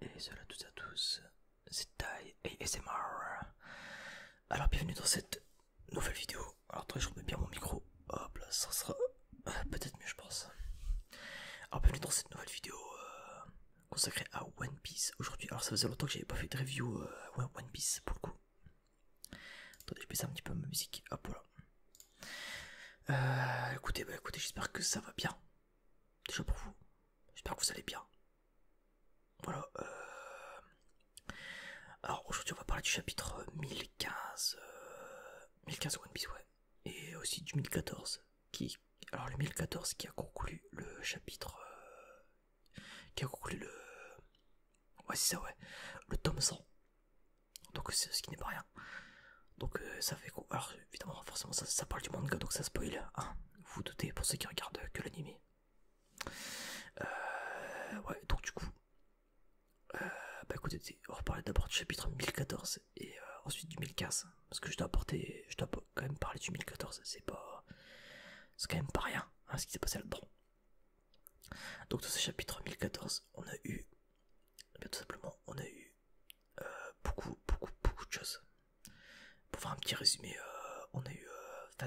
Et salut à tous à tous, c'est Tai et SMR. Alors bienvenue dans cette nouvelle vidéo. Alors attendez, je remets bien mon micro. Hop là, ça sera euh, peut-être mieux je pense. Alors bienvenue dans cette nouvelle vidéo. Euh, consacré à One Piece aujourd'hui. Alors ça faisait longtemps que j'avais pas fait de review euh, One Piece pour le coup. Attendez, je baisse un petit peu ma musique. Hop voilà. Euh, écoutez, bah, écoutez, j'espère que ça va bien. Déjà pour vous. J'espère que vous allez bien. Voilà. Euh. Alors aujourd'hui on va parler du chapitre 1015. 1015 One Piece, ouais. Et aussi du 1014 qui alors le 1014 qui a conclu le chapitre euh, qui a conclu le ouais c'est ça ouais le tome 100 donc c'est ce qui n'est pas rien donc euh, ça fait alors évidemment forcément ça, parle du manga donc ça spoil vous, hein. vous doutez pour ceux qui regardent que l'anime euh, ouais donc du coup bah écoutez on va reparler d'abord du chapitre 1014 et euh, ensuite ensuite 2015. Parce que je dois apporter, je dois quand même parler du 1014, c'est pas. C'est quand même pas rien hein, ce qui s'est passé à dedans Donc dans ce chapitre 1014, on a eu. Eh bien, tout simplement, on a eu euh, beaucoup, beaucoup, beaucoup de choses. Pour faire un petit résumé, euh, on a eu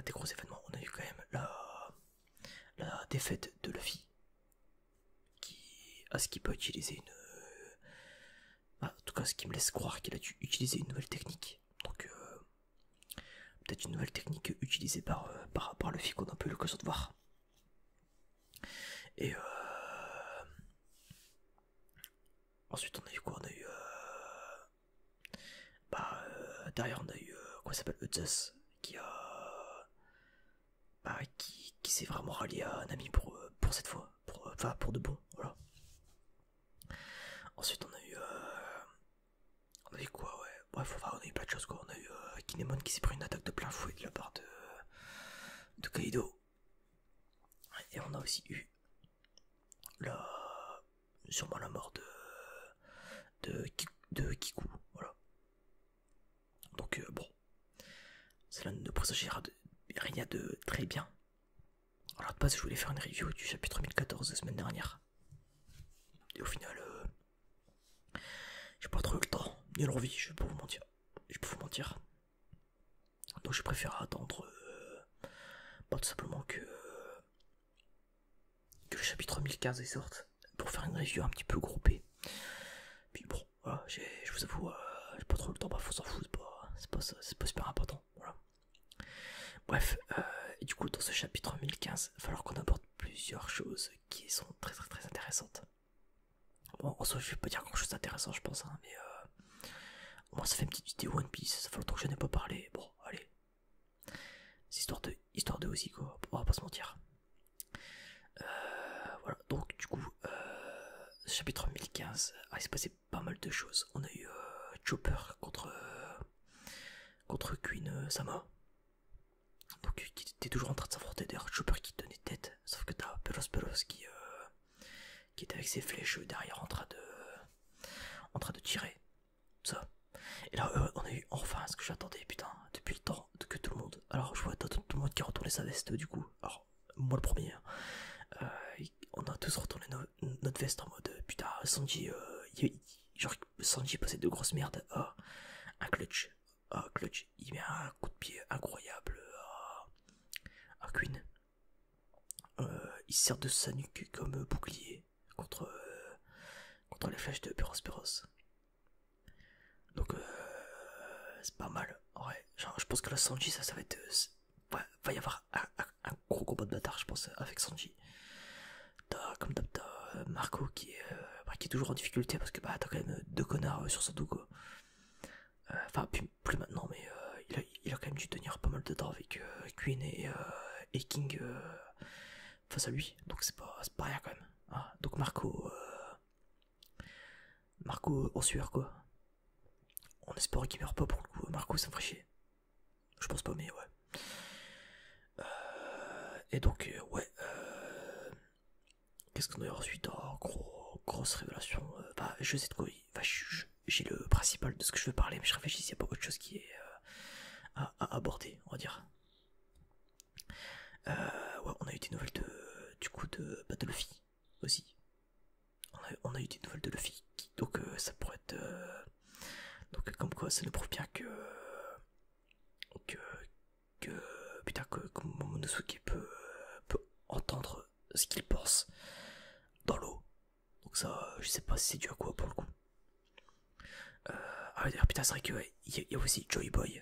des gros événements. On a eu quand même la, la défaite de Luffy, qui, à ce qui peut utiliser une, bah, en tout cas, ce qui me laisse croire qu'il a dû utiliser une nouvelle technique. Donc, euh, peut-être une nouvelle technique utilisée par, le euh, par, qu'on a un peu le de voir. Et euh, ensuite, on a eu quoi On a eu. bah, derrière, on a eu. quoi s'appelle Eutzes qui a. Bah, qui, qui s'est vraiment rallié à un ami pour, pour cette fois. Euh, enfin pour de bon, voilà. Ensuite on a eu, euh, on a eu quoi ouais, bref enfin, on a eu plein de choses quoi, on a eu euh, Kinemon qui s'est pris une attaque de plein fouet de la part de, de Kaido. Et on a aussi eu la, sûrement la mort de, de, de Kiku, voilà. Donc bon, cela ne présagira rien de très bien. Alors de base, je voulais faire une review du chapitre 1014 la semaine dernière. Et au final, euh, j'ai pas trop le temps, ni l'envie, je vais vous mentir. Je peux vous mentir. Donc je préfère attendre pas euh, bah, tout simplement que, que le chapitre 1015 sorte pour faire une review un petit peu groupée. Puis bon, voilà, je vous avoue, euh, j'ai pas trop le temps, bah faut s'en foutre, c'est pas, pas super important. Voilà. Bref, et euh, du coup, dans ce chapitre 1015, il va falloir qu'on apporte plusieurs choses qui sont très très très intéressantes. Bon, en soi, je vais pas dire grand chose d'intéressant, je pense, hein, mais euh, moins ça fait une petite vidéo One Piece, ça fait longtemps que je n'ai pas parlé. Bon, allez, c'est histoire de, histoire de aussi, quoi, on va pas se mentir. Euh, voilà donc du coup, euh, chapitre 1015, ah, il s'est passé pas mal de choses. On a eu euh, Chopper contre, euh, contre Queen Sama. Donc qui était toujours en train de s'affronter d'ailleurs, Chopper qui tenait tête, sauf que t'as Peros Peros qui, qui était avec ses flèches derrière en train de, en train de tirer. Ça. Et là, on a eu enfin ce que j'attendais, putain, depuis le temps que tout le monde. Alors, je vois tout, le monde qui a retourné sa veste, du coup moi le premier, euh, on a tous retourné notre veste en mode euh, putain, Sanji, euh, genre, Sanji passé de grosses merdes, à un clutch, clutch, il met un coup de pied incroyable à Queen, il sert de sa nuque comme bouclier contre, contre les flèches de Puros Donc c'est pas mal. Ouais, je pense que là Sanji, ça, va être. Euh, va y avoir un, gros combat de bâtard, je pense, euh, avec Sanji. T'as, comme d'hab, euh, Marco qui est, bah, qui est toujours en difficulté parce que bah, t'as quand même deux connards sur sa dos, Enfin, plus, maintenant, mais il, a, quand même dû tenir pas mal de temps avec Queen et, King face à lui, donc c'est pas, pas rien quand même. Ah, donc Marco. Marco en sueur, quoi. On espère qu'il meurt pas pour le coup. Marco, ça Je pense pas, mais ouais. Euh, et donc, euh, ouais. Euh, qu'est-ce qu'on a eu ensuite oh, gros, Grosse révélation. bah, je sais de quoi. je J'ai le principal de ce que je veux parler, mais je réfléchis il n'y a pas autre chose qui est à, aborder, on va dire. ouais, on a eu des nouvelles de, du coup de Battlefy aussi. On a, eu des nouvelles de Luffy, donc euh, ça pourrait être. Euh, donc, comme quoi, ça nous prouve bien que. que. que. putain, que, que Momonosuke peut, euh, peut entendre ce qu'il pense dans l'eau. Donc, ça, je sais pas si c'est dû à quoi pour le coup. ah, d'ailleurs, putain, c'est vrai qu'il y a aussi Joy Boy.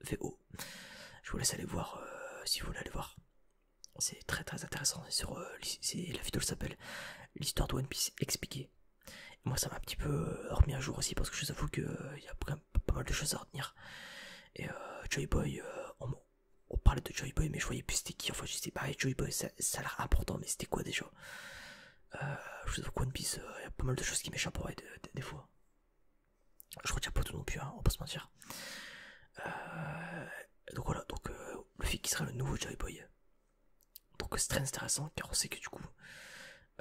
VO. Oh, je vous laisse aller voir euh, si vous voulez aller voir. C'est très très intéressant. sur euh, la vidéo s'appelle L'histoire de One Piece expliquée. moi ça m'a un petit peu euh, remis à jour aussi parce que je vous avoue qu'il y a quand pas mal de choses à retenir. Et Joy Boy, on, parlait de Joy Boy mais je voyais plus c'était qui. Enfin je disais bah Joy Boy ça, a l'air important mais c'était quoi déjà Je vous avoue que One Piece, il y a pas mal de choses qui m'échappent des fois. Je retiens pas tout non plus, hein, on peut se mentir. Euh, donc voilà, donc euh, le flic qui sera le nouveau Joy Boy. Donc c'est très intéressant car on sait que du coup,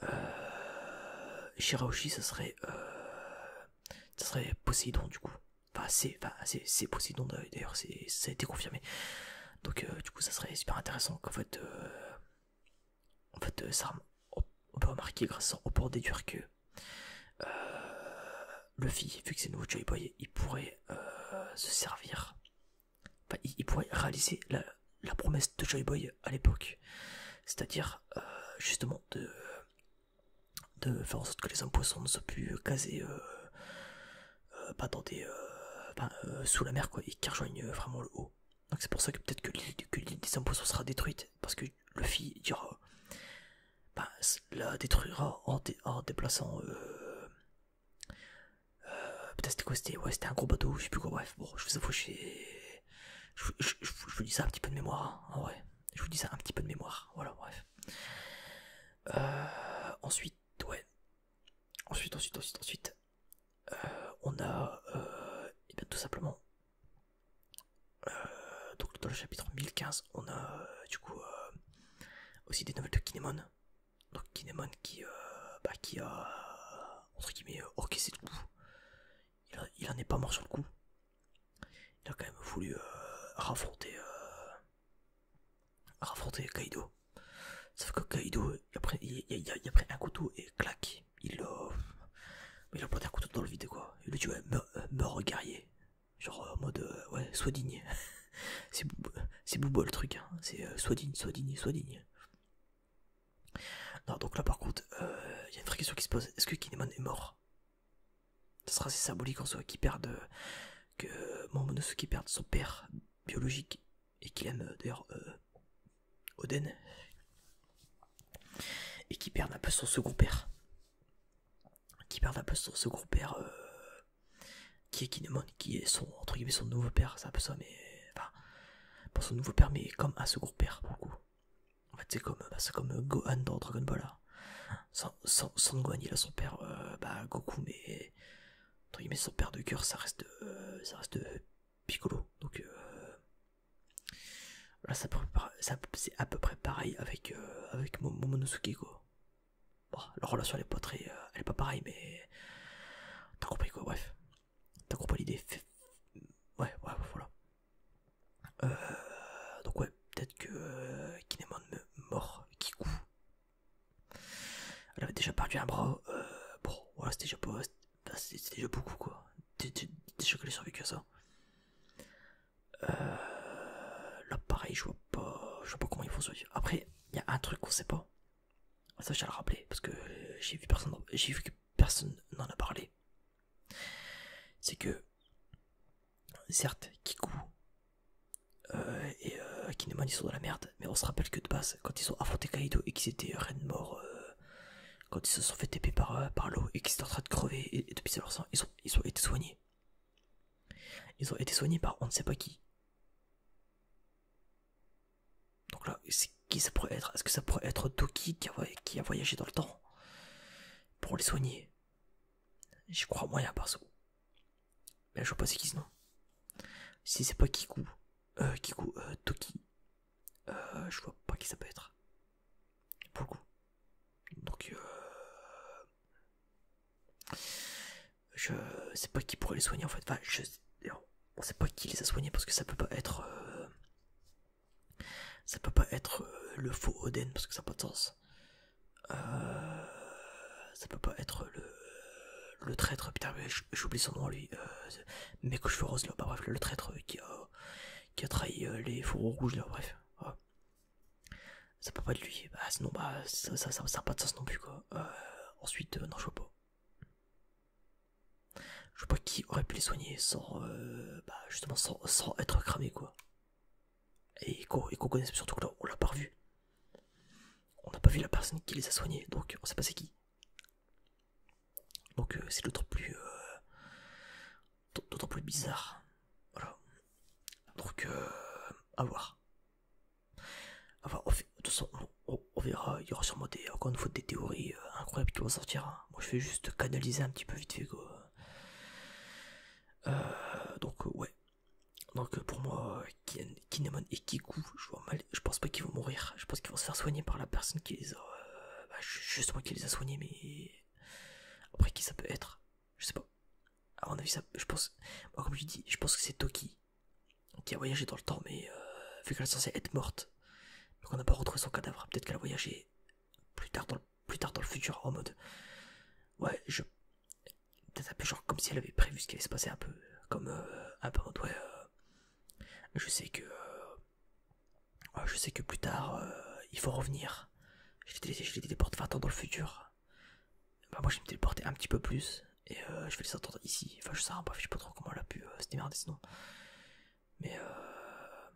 euh, Shiraoshi ça serait, ça serait Poséidon du coup. Enfin c'est, enfin, c'est d'ailleurs, ça a été confirmé. Donc du coup ça serait super intéressant qu'en fait, en fait, euh, on peut remarquer grâce peut en déduire que euh, Luffy, vu que c'est le nouveau Joy Boy, il pourrait euh, se servir, enfin, il, pourrait réaliser la, promesse de Joy Boy à l'époque, c'est-à-dire justement de, faire en sorte que les poissons ne soient plus casés pas sous la mer, quoi, et qu'ils rejoignent vraiment le haut. Donc c'est pour ça que peut-être que l'île des sera détruite, parce que Luffy dira, bah, la détruira en, déplaçant... Euh, euh, peut-être c'était quoi c'était un gros bateau, je sais plus quoi, bref, bon, je vous je, je, vous dis ça un petit peu de mémoire, hein, en vrai. Je vous dis ça un petit peu de mémoire, voilà, bref. Euh, ensuite, ouais. Ensuite, ensuite, ensuite, ensuite. Euh, on a euh, eh tout simplement euh, donc dans le chapitre 1015 on a du coup aussi des nouvelles de Kinemon donc Kinemon qui bah, qui a entre guillemets orcaissé le coup il, en est pas mort sur le coup il a quand même voulu raffronter Kaido sauf que Kaido il a, pris, il, a, un couteau et clac, il l'a. a planté un couteau dans le vide quoi. Il lui dit ouais, meurs, Genre en mode euh, ouais, sois digne. c'est c'est le truc, hein. c'est euh, sois digne, sois digne, sois digne. Non, donc là par contre, euh, il y a une vraie question qui se pose est-ce que Kinemon est mort ça sera assez symbolique en soi qui perdent. mon que qui perde son père biologique et qui aime euh, d'ailleurs euh, Oden et qui perd un peu son second père qui perd un peu son second père euh, qui est Kinemon qui est son entre guillemets son nouveau père c'est un peu ça mais enfin pas son nouveau père mais comme un second père beaucoup en fait c'est comme bah, comme Gohan dans Dragon Ball Sans, hein. sans, Gohan il a son père bah Goku mais entre guillemets son père de cœur ça reste ça reste Piccolo. Donc euh, là, ça, c'est à peu près pareil avec euh, avec Momonosuke Bon, leur relation elle est pas euh, elle est pas pareille mais t'as compris quoi. Bref, t'as compris l'idée. Ouais, ouais, voilà. Euh, donc ouais, peut-être que Kinemon me mort, Kiku. Elle avait déjà perdu un bras. bon, voilà, c'était déjà pas, c'était c'est déjà beaucoup quoi. Déjà qu'elle les survécu à ça. Euh, là pareil, je vois pas, je vois pas comment ils font survivre. Après, il y a un truc qu'on sait pas. Ça, je vais le rappeler parce que j'ai vu personne, vu que personne n'en a parlé. C'est que certes, Kiku euh, et euh, ils sont dans la merde, mais on se rappelle que de base, quand ils ont affronté Kaido et qu'ils étaient Rennes mort euh, quand ils se sont fait taper par, euh, l'eau et qu'ils sont en train de crever et, depuis de pisser leur sang, ils ont, été soignés. Ils ont été soignés par on ne sait pas qui. Donc là, qui ça pourrait être Est-ce que ça pourrait être Toki qui a, voyagé dans le temps pour les soigner J'y crois moyen perso. Mais je vois pas c'est qui Si c'est pas Kiku, euh, Kiku, euh, Toki, euh, je vois pas qui ça peut être. beaucoup, Donc, euh... je sais pas qui pourrait les soigner en fait. Enfin, je... On sait pas qui les a soignés parce que ça peut pas être. Euh, ça peut pas être euh, le faux Oden parce que ça n'a pas de sens. Ça peut pas être le, le traître. Putain, j'oublie son nom lui, euh, mec je là, bah, bref, le, traître euh, qui, a, trahi euh, les fourreaux rouges là, bref, ça peut pas être lui, bah, bah ça ça, ça, pas de sens non plus quoi, euh, ensuite non je vois pas, je vois pas qui aurait pu les soigner sans, bah justement sans, être cramé quoi, et qu'on surtout que là on l'a pas vu on n'a pas vu la personne qui les a soignés donc on sait pas c'est qui. Donc euh, c'est euh, d'autant plus, bizarre. Voilà. Donc euh, à voir. on on, verra. Il y aura sûrement encore une fois des théories incroyables qui vont sortir. Hein. Moi, je vais juste canaliser un petit peu vite fait donc ouais. Donc pour moi, qui Kinemon et Kiku, je vois mal, je pense pas qu'ils vont mourir, je pense qu'ils vont se faire soigner par la personne qui les a, euh, bah, juste moi qui les a soignés, mais après qui ça peut être, je sais pas. À mon avis, ça, je pense, moi comme je dis, je pense que c'est Toki qui a voyagé dans le temps, mais euh, vu qu'elle est censée être morte, donc on n'a pas retrouvé son cadavre, peut-être qu'elle a voyagé plus tard dans le, plus tard dans le futur en mode, ouais, je peut-être un peu genre comme si elle avait prévu ce qui allait se passer un peu comme euh, un peu en mode ouais je sais que euh, oh, je sais que plus tard euh, il faut revenir. Je les téléporte 20 ans dans le futur. Bah moi je vais me téléporter un petit peu plus et euh, je vais les entendre ici. Enfin je sais, je sais pas trop comment elle a pu se démerder sinon. Mais euh...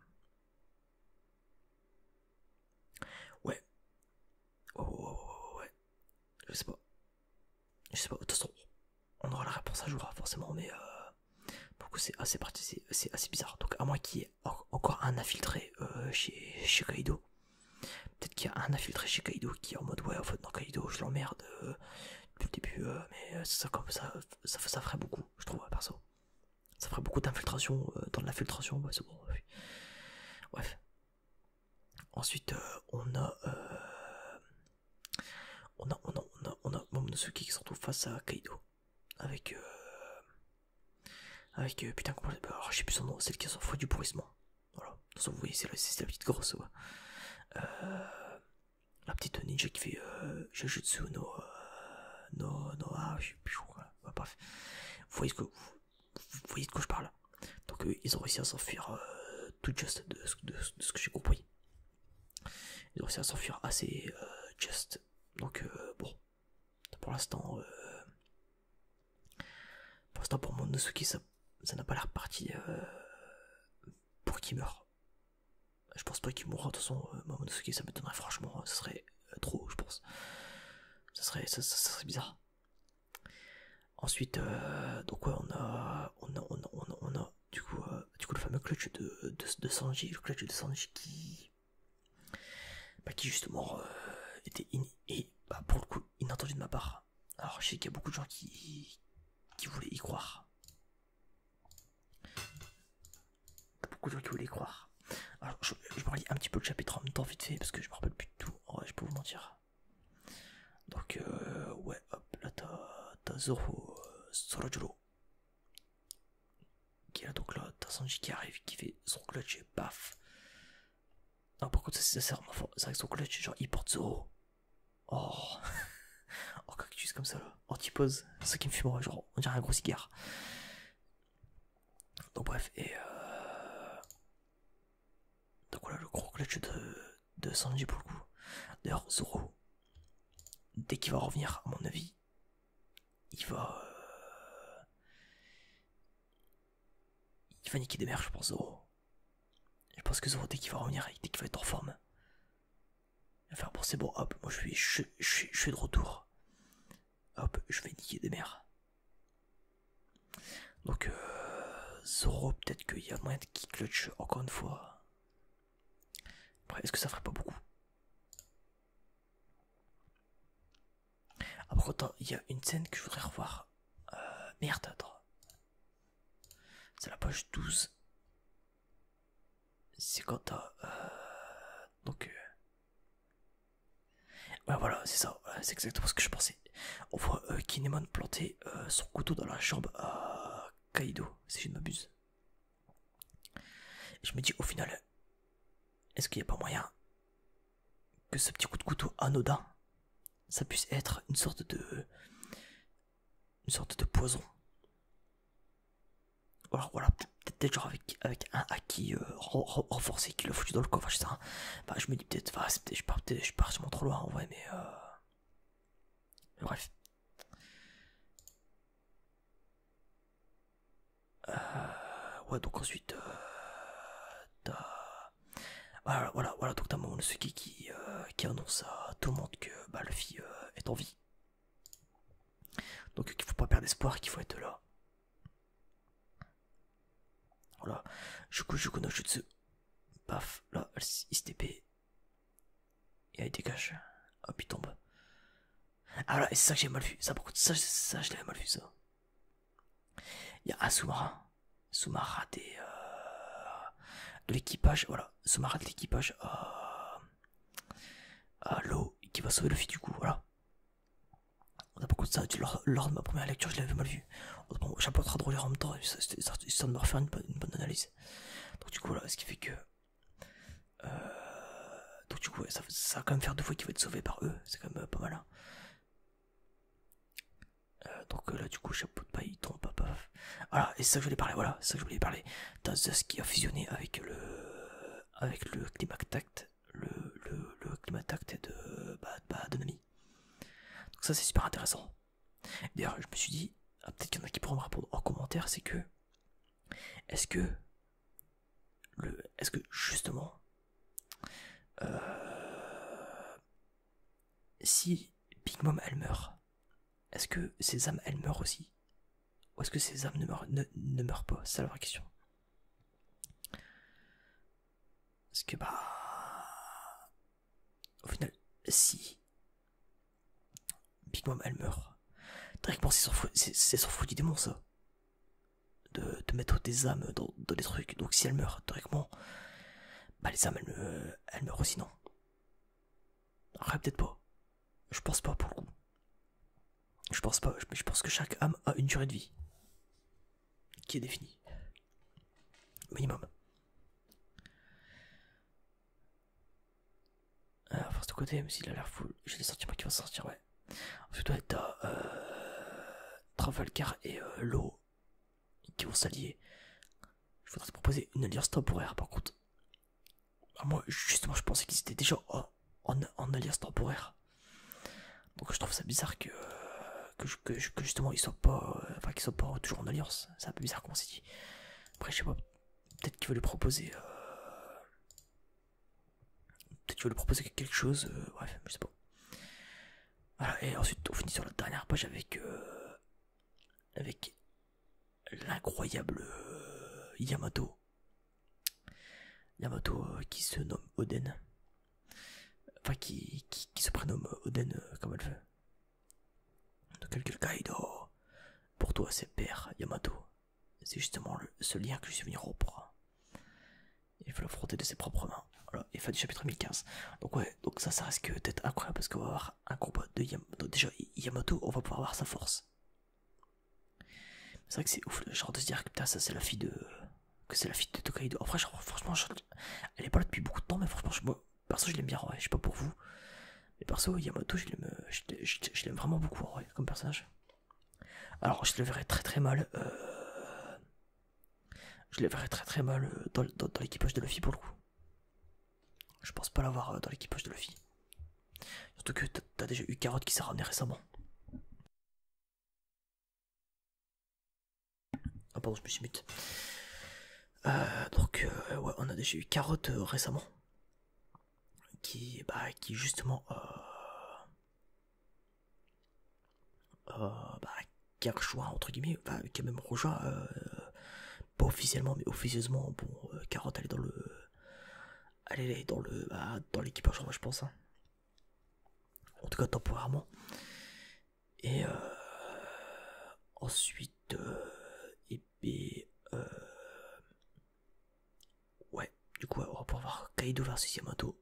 Ouais. Ouais oh, ouais oh, ouais. Je sais pas. Je sais pas, de toute façon, on aura la réponse à jour, hein, forcément, mais beaucoup c'est assez, c'est assez bizarre. Donc, à moi qui y encore un infiltré euh, chez, chez Kaido, peut-être qu'il y a un infiltré chez Kaido qui est en mode ouais, en fait, dans Kaido, je l'emmerde euh, depuis le début, euh, mais ça, comme ça, ça, ferait beaucoup, je trouve, perso. Ça ferait beaucoup d'infiltration dans l'infiltration, ouais, c'est bon. Bref. Ensuite, euh, on a. Euh, on a, on a, Momonosuke qui se retrouve face à Kaido. Avec. Euh, avec. Euh, putain, ah, je sais plus son nom, c'est celle qui s'en fout du pourrissement. Voilà. Vous voyez, c'est la, petite grosse. la petite ninja qui fait. Jujutsu no. No. Ah, je sais plus. quoi, vous voyez de quoi je parle donc euh, ils ont réussi à s'enfuir euh, tout juste de, ce que j'ai compris. Ils ont réussi à s'enfuir assez euh, juste, Donc bon, pour l'instant, pour l'instant pour qui ça n'a pas l'air parti pour qu'il meure. Je pense pas qu'il mourra de toute façon. Monosuki ça m'étonnerait franchement, ce serait trop, je pense. Ça serait, ça serait bizarre. Ensuite, euh, donc on a, on on on du coup, euh, du coup le fameux clutch de, de, Sanji, le clutch de Sanji qui, bah, qui justement euh, était et bah, pour le coup inattendu de ma part. Alors je sais qu'il y a beaucoup de gens qui, qui voulaient y croire. Beaucoup de gens qui voulaient y croire. Alors je, me relis un petit peu le chapitre en même temps vite fait parce que je me rappelle plus de tout. je peux vous mentir. Donc, euh, ouais, hop, là t'as Zoro euh, Zoro Qui est là, donc là, t'as Sanji qui arrive, qui fait son clutch et paf. Non, par contre, ça c'est vraiment fort. C'est vrai que son clutch, genre, il porte Zoro. Oh, oh cactus comme ça là, pour ça qui me fume, genre, on dirait un gros cigare. Donc bref, et euh... Donc voilà le gros clutch de, de Sanji pour le coup. D'ailleurs, Zoro, dès qu'il va revenir, à mon avis, il va. Euh, il va niquer des mères, je pense, Zoro. Je pense que Zoro, dès qu'il va revenir, dès qu'il va être en forme, il va faire bon, bon, hop, moi je suis, je, je suis de retour. Hop, je vais niquer des mères. Donc euh, Zoro, peut-être qu'il y a moyen qui clutch encore une fois. Après, est-ce que ça ferait pas beaucoup Après, ah, autant, il y a une scène que je voudrais revoir. Euh, merde, C'est la page 12. C'est quand à euh, donc... Euh, ouais, voilà, c'est ça. C'est exactement ce que je pensais on voit euh, Kinemon planter euh, son couteau dans la jambe à Kaido, si je ne m'abuse. Je me dis au final, est-ce qu'il n'y a pas moyen que ce petit coup de couteau anodin, ça puisse être une sorte de... une sorte de poison alors voilà, peut-être genre avec, avec un acquis euh, renforcé qui l'a foutu dans le coffre, sais Bah, je me dis peut-être, je, pars, je sûrement trop loin en vrai, mais bref. Euh, ouais, donc ensuite, euh, voilà, voilà, donc t'as mon qui, qui euh, qui annonce à tout le monde que bah, le fille euh, est en vie. Donc qu'il faut pas perdre espoir, qu'il faut être là. Voilà, je je no ce Paf, là, il se TP. Et elle dégage. Hop, il tombe. Ah et c'est ça que j'ai mal vu. Ça, beaucoup ça, je l'avais mal vu, ça. Il y a un sous-marin. Sous-marin euh, de l'équipage, voilà. Sous-marin de l'équipage. Euh, euh, L'eau qui va sauver le fil du coup, voilà. on a beaucoup de ça, lors de ma première lecture, je l'avais mal vu dessus. à j'apporterai drôle en même temps, ça de me refaire une bonne, analyse. Donc du coup, là, ce qui fait que... Euh, donc du coup, ça, va quand même faire deux fois qu'il va être sauvé par eux, c'est quand même euh, pas mal. Hein. Euh, donc là, du coup, chapeau de paille, il tombe, paf, Voilà, et ça je voulais parler, voilà, ça je voulais parler. ce qui a fusionné avec le... Avec le climat tact, le, le, le climat de, bah, Bad de donc ça c'est super intéressant. D'ailleurs je me suis dit, ah, peut-être qu'il y en a qui pourront me répondre en commentaire, c'est que est-ce que le, est-ce que justement euh, si Big Mom elle meurt, est-ce que ses âmes elles meurent aussi Ou est-ce que ses âmes ne meurent, ne meurent pas C'est la vraie question. Parce que bah au final, si Big Mom elle meurt, directement c'est son fruit du démon ça. De, mettre des âmes dans, des trucs, donc si elle meurt directement, bah les âmes elles, meurent aussi non. peut-être pas, je pense pas pour le coup. Je pense pas, je pense que chaque âme a une durée de vie qui est défini. Minimum. Alors, ah, force de côté, même s'il a l'air full, j'ai des sentiments qui vont sortir, ouais. Ensuite, ouais, t'as euh, et euh, l'eau qui vont s'allier. Je voudrais te proposer une alliance temporaire, par contre. Ah, moi, justement, je pensais qu'ils étaient déjà en alliance temporaire. Donc je trouve ça bizarre que, que, que, justement ils soient pas, enfin qu'ils soient pas toujours en alliance. C'est un peu bizarre qu'on s'est dit. Après je sais pas, peut-être qu'ils veulent lui proposer, euh, peut-être lui proposer quelque chose. Euh, bref, je sais pas. Voilà. Et ensuite on finit sur la dernière page avec, euh, avec l'incroyable Yamato. Yamato qui se nomme Oden. Enfin, qui, qui, se prénomme Oden euh, comme elle veut. Donc elle Kaido. Pour toi, c'est père Yamato. C'est justement ce lien que je suis venu rompre. Il faut frotter de ses propres mains. Voilà, et fin du chapitre 1015. Donc ouais, donc ça, ça reste que peut-être incroyable parce qu'on va avoir un combat de Yamato. Déjà, Yamato, on va pouvoir voir sa force. C'est vrai que c'est ouf, genre de se dire que ça c'est la fille de que c'est la fille de Tokaido. Après, franchement, elle est pas là depuis beaucoup de temps, mais franchement, moi, perso, je l'aime bien, ouais. Je sais pas pour vous. Mais perso, Yamato, je l'aime euh, vraiment beaucoup, comme personnage. Alors, je le verrais très très mal. Euh, je le verrais très très mal euh, dans, l'équipage de Luffy pour le coup. Je pense pas l'avoir dans l'équipage de Luffy. Surtout que t'as déjà eu Carotte qui s'est ramené récemment. Ah pardon, je me suis mute. Euh, donc euh, ouais, on a déjà eu Carotte euh, récemment, qui, bah, qui justement, bah, qui a rejoint entre guillemets, enfin, qui a même rejoint, pas officiellement mais officieusement, bon, Carotte elle est dans le, elle est dans le, bah, dans l'équipage, je pense. Hein. En tout cas temporairement. Et euh, ensuite, euh, et puis euh, ouais, du coup, on va pouvoir voir Kaido versus Yamato.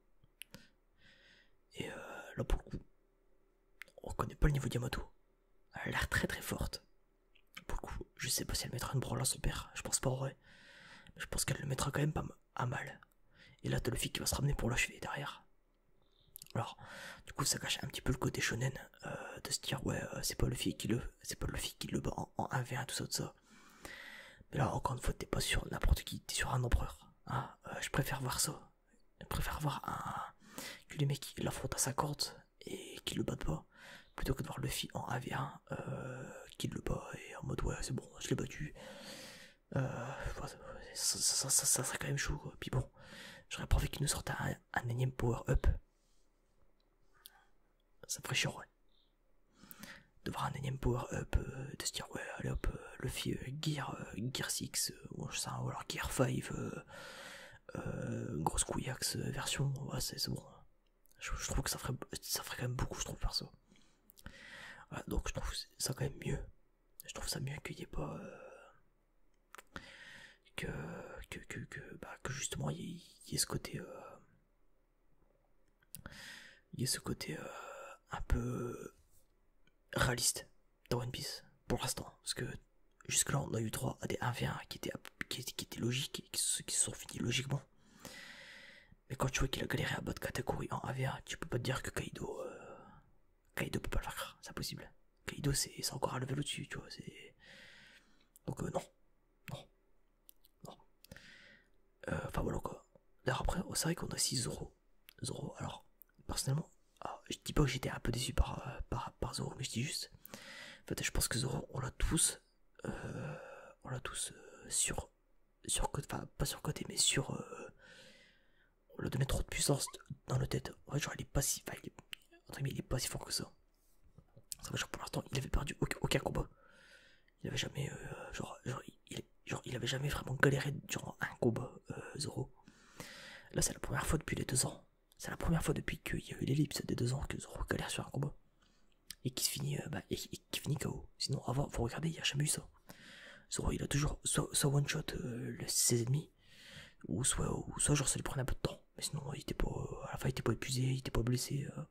Et euh, là, pour le coup, on connaît pas le niveau de Yamato. Elle a l'air très très forte. Pour le coup, je sais pas si elle mettra une branle à son père, je pense pas en vrai. Je pense qu'elle le mettra quand même pas mal à mal. Et là, t'as le qui va se ramener pour l'achever derrière. Alors, du coup, ça cache un petit peu le côté shonen euh, de se dire, ouais, euh, c'est pas le flic qui le, c'est pas le qui le bat en, 1v1, tout ça, tout ça. Mais là, encore une fois, t'es pas sur n'importe qui, t'es sur un empereur. Hein. Euh, je préfère voir ça. Je préfère voir un, que les mecs l'affrontent à sa corde et qu'ils le battent pas, plutôt que de voir le flic en 1v1 qui le bat et en mode, ouais, c'est bon, je l'ai battu. Euh, ça, serait quand même chaud. Puis bon, j'aurais pas envie qu'il nous sorte un, un énième power-up. Ça ferait chiant, ouais. De voir un énième power-up, euh, de se dire, ouais, allez hop, euh, Luffy, Gear, Gear 6, ou, alors Gear 5, euh, grosse version, ouais, c'est bon. Je, trouve que ça ferait, ça ferait quand même beaucoup, je trouve, perso. Voilà, donc je trouve ça quand même mieux je trouve ça mieux qu'il n'y ait pas. Euh, que, que, que, que, bah, que justement il y, ait ce côté. Il y ait ce côté euh, euh, un peu réaliste dans One Piece pour l'instant. Parce que jusque-là on a eu 3 à des 1v1 qui étaient, qui, logiques, qui, qui se sont finis logiquement. Mais quand tu vois qu'il a galéré à de catégorie en AVA, tu peux pas te dire que Kaido. Euh, Kaido peut pas le faire, c'est impossible. Kaido, c'est encore à level au-dessus, tu vois. Donc, euh, non. Non. Non. Euh, enfin, voilà quoi. D'ailleurs, après, oh, c'est vrai qu'on a 6 Zoro. Zoro, alors, personnellement, ah, je dis pas que j'étais un peu déçu par, Zoro, mais je dis juste. En fait, je pense que Zoro, on l'a tous. on l'a tous sur sur sur enfin pas côté, mais sur le euh, on lui trop de puissance dans le tête genre il est pas si il, est, pas si fort que ça ça veut dire pour l'instant il avait perdu aucun, combat il avait jamais euh, genre, il, avait jamais vraiment galéré durant un combat euh, Zoro là c'est la première fois depuis les deux ans c'est la première fois depuis qu'il y a eu l'ellipse des deux ans que Zoro galère sur un combat et qui se finit bah, finit KO Sinon, avant, faut regarder il n'y a jamais eu ça. Zoro, il a toujours soit, one shot euh, ses ennemis, ou soit, soit genre ça lui prenait un peu de temps. Mais sinon, il était pas, euh, à la fin, il était pas épuisé, il était pas blessé. Euh.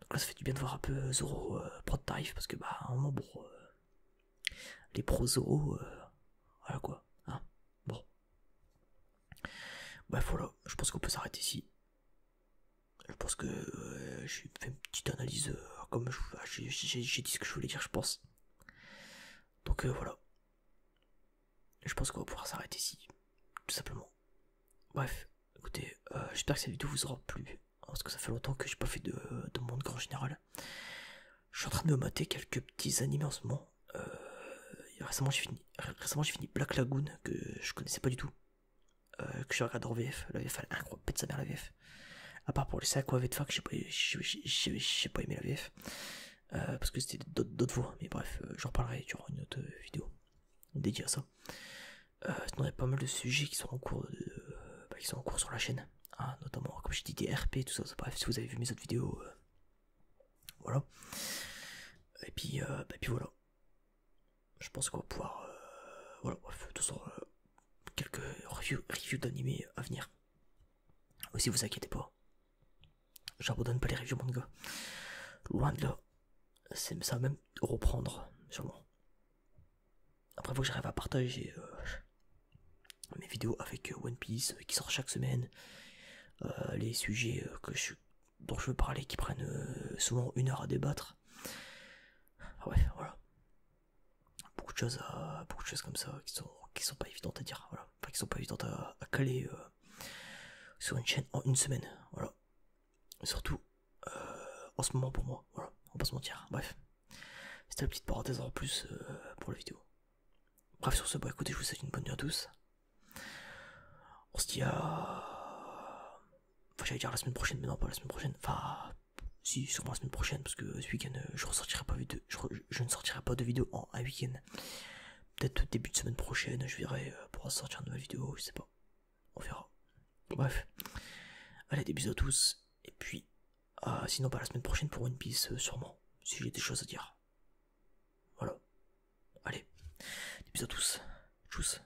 Donc là, ça fait du bien de voir un peu Zoro pro parce que, bah, à un bon, les pros Zoro, voilà quoi. Hein, bon. bref, voilà, je pense qu'on peut s'arrêter ici. Je pense que j'ai fait une petite analyse euh, comme ah, j'ai dit ce que je voulais dire, je pense. Donc euh, voilà. Je pense qu'on va pouvoir s'arrêter ici, tout simplement. Bref, écoutez, euh, j'espère que cette vidéo vous aura plu. Parce que ça fait longtemps que j'ai pas fait de, monde grand général. Je suis en train de me mater quelques petits animés en ce moment. récemment j'ai fini, récemment j'ai fini Black Lagoon que je connaissais pas du tout. Euh, que je regarde en VF. La VF, elle incroyable, pète sa mère la VF. À part pour les 5 ou à VF, j'ai pas, pas aimé la VF. Euh, parce que c'était d'autres voix, mais bref, euh, j'en reparlerai durant une autre vidéo dédiée à ça. il y a pas mal de sujets qui sont en cours, bah, qui sont en cours sur la chaîne, hein, notamment comme j'ai dit des RP, tout ça, Bref, si vous avez vu mes autres vidéos, voilà. Et puis, bah, et puis voilà je pense qu'on va pouvoir. faire euh, de euh, quelques reviews, d'animés à venir. Aussi, vous inquiétez pas. J'abandonne pas les reviews manga. Loin de là. Ça même reprendre, sûrement. Après, faut que j'arrive à partager euh, mes vidéos avec One Piece qui sort chaque semaine. les sujets dont je veux parler qui prennent souvent une heure à débattre. Ah ouais, voilà. Beaucoup de choses, beaucoup de choses comme ça qui sont, qui sont pas évidentes à dire, voilà. Enfin, qui sont pas évidentes à, caler euh, sur une chaîne en une semaine, voilà. surtout euh, en ce moment pour moi, voilà. On va pas se mentir, bref. C'était la petite parenthèse en plus euh, pour la vidéo. Bref, sur ce, bah écoutez, je vous souhaite une bonne nuit à tous. On se dit à. Enfin, j'allais dire la semaine prochaine, mais non, pas la semaine prochaine. Enfin, si, sûrement la semaine prochaine, parce que ce week-end, euh, je, ressortirai pas de, je, je ne sortirai pas de vidéo en un week-end. Peut-être début de semaine prochaine, je verrai euh, pour sortir une nouvelle vidéo, je sais pas. On verra. Bref. Allez, des bisous à tous. Et puis, euh, sinon, pas la semaine prochaine pour One Piece, sûrement. Si j'ai des choses à dire. Voilà. Allez. Des bisous à tous. Tchuss.